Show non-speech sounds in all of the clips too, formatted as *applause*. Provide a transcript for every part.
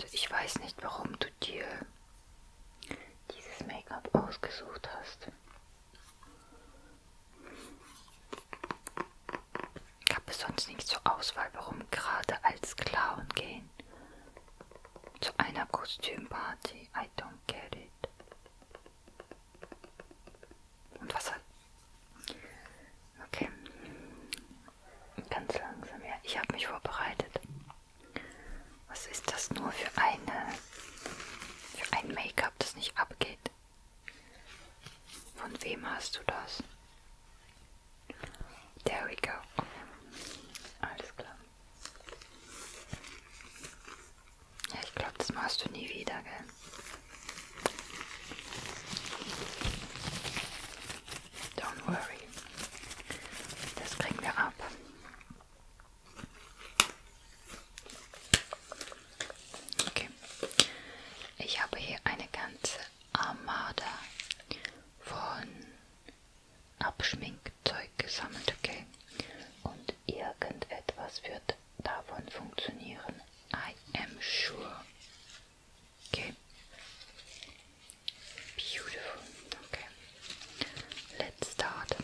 Also ich weiß nicht, warum du dir dieses Make-up ausgesucht hast. Gab es sonst nichts zur Auswahl, warum gerade als Clown gehen? Zu einer Kostümparty? I don't get it. Und Wasser. Okay. Ganz langsam, ja. Ich habe mich vorbereitet. Was ist das nur für eine für ein Make-up, das nicht abgeht? Von wem hast du das? There we go. Okay. Alles klar. Ja, ich glaube, das machst du nie wieder, gell? Don't worry. Das kriegen wir ab. Okay. Ich habe hier eine ganze Armada von Abschminkzeug gesammelt, okay? Und irgendetwas wird davon funktionieren. I am sure. Okay. Beautiful. Okay. Let's start.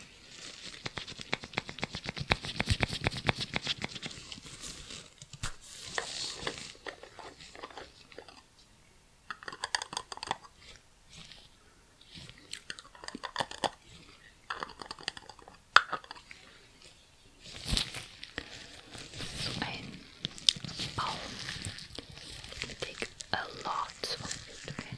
So ein Baum. We take a lot okay?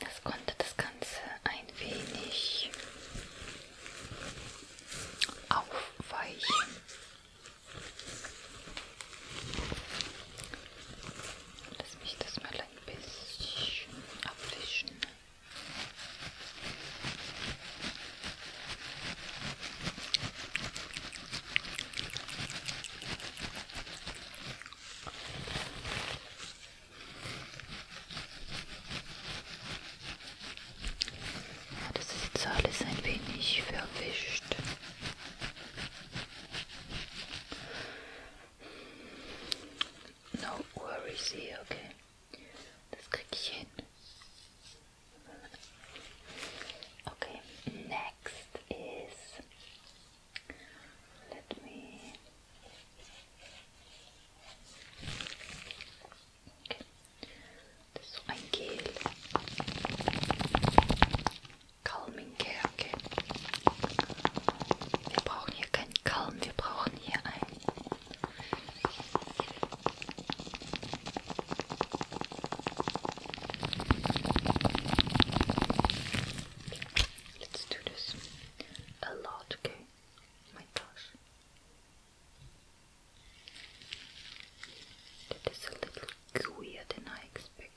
Das konnte das Ganze ein wenig aufweichen. Lass mich das mal ein bisschen abwischen. Das ist jetzt alles ein wenig verwischt. No worries here, okay. Das krieg ich hin. Okay, next is let me das ist so ein Gel. Calming Care, okay. Wir brauchen hier kein Calm, wir brauchen hier ein... Let's do this a lot, okay? Oh my gosh. That is a little gooier than I expected.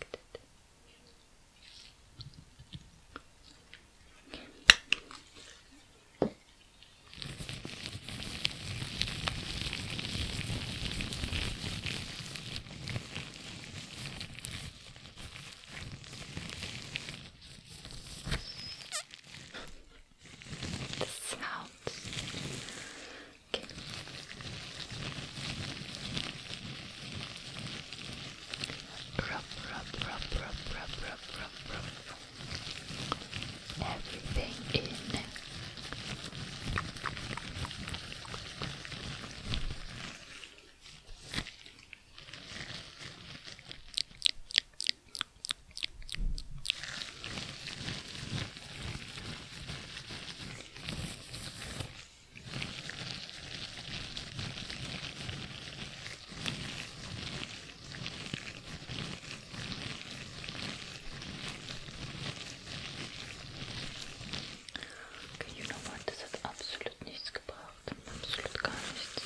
This sounds. Okay. Rub, rub, rub, rub, rub, rub, rub, rub. Everything in. Okay, you know what, das hat absolut nichts gebracht. Absolut gar nichts.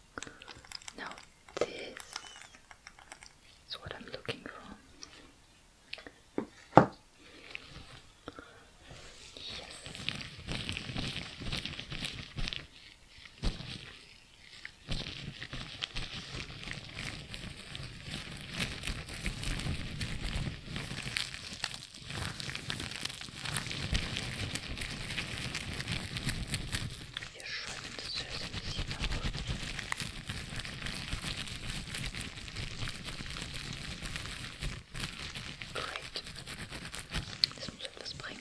now this is what I'm looking for. Yes. Wir schäumen das Süße ein bisschen auf. Great. Das muss etwas bringen.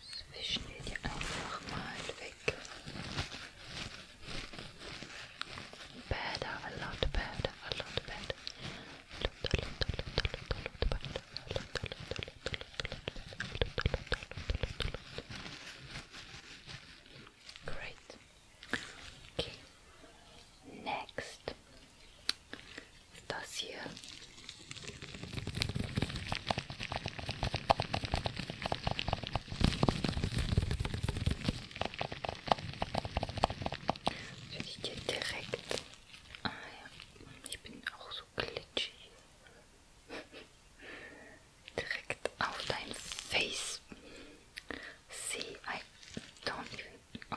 Zwischen wir die einfach mal weg. Better, a lot better, a lot better. Great. Okay. Next, Das hier. Würde ich dir direkt. Ah ja, ich bin auch so glitschig. *laughs* direkt auf dein Face. See, I don't even. Oh.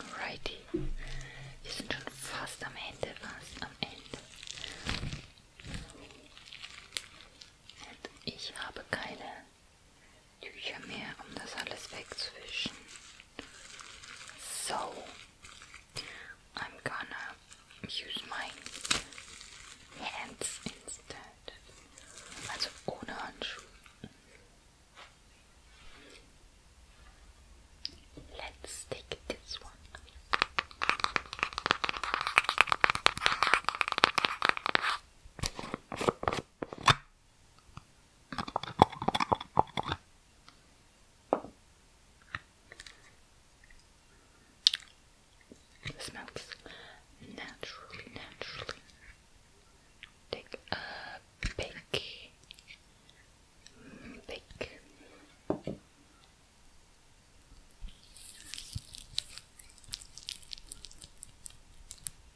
Alrighty. Wir sind schon fast am Ende, fast am Ende. Und ich habe keine Tücher mehr, um das alles wegzuwischen. So, I'm gonna use my hands instead. Also ohne Handschuhe. Let's take this one. This smells naturally, naturally. Take a big, big.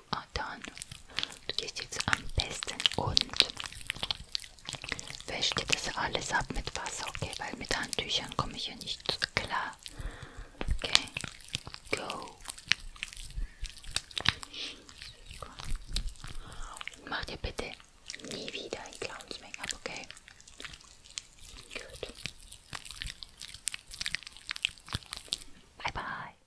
you are ah, done. Du gehst jetzt am besten und wäscht dir das alles ab mit Wasser, okay? Weil mit Handtüchern komme ich ja nicht klar. Okay, go. Mach dir bitte nie wieder ein Clowns Make-up, okay? Gut. Bye bye.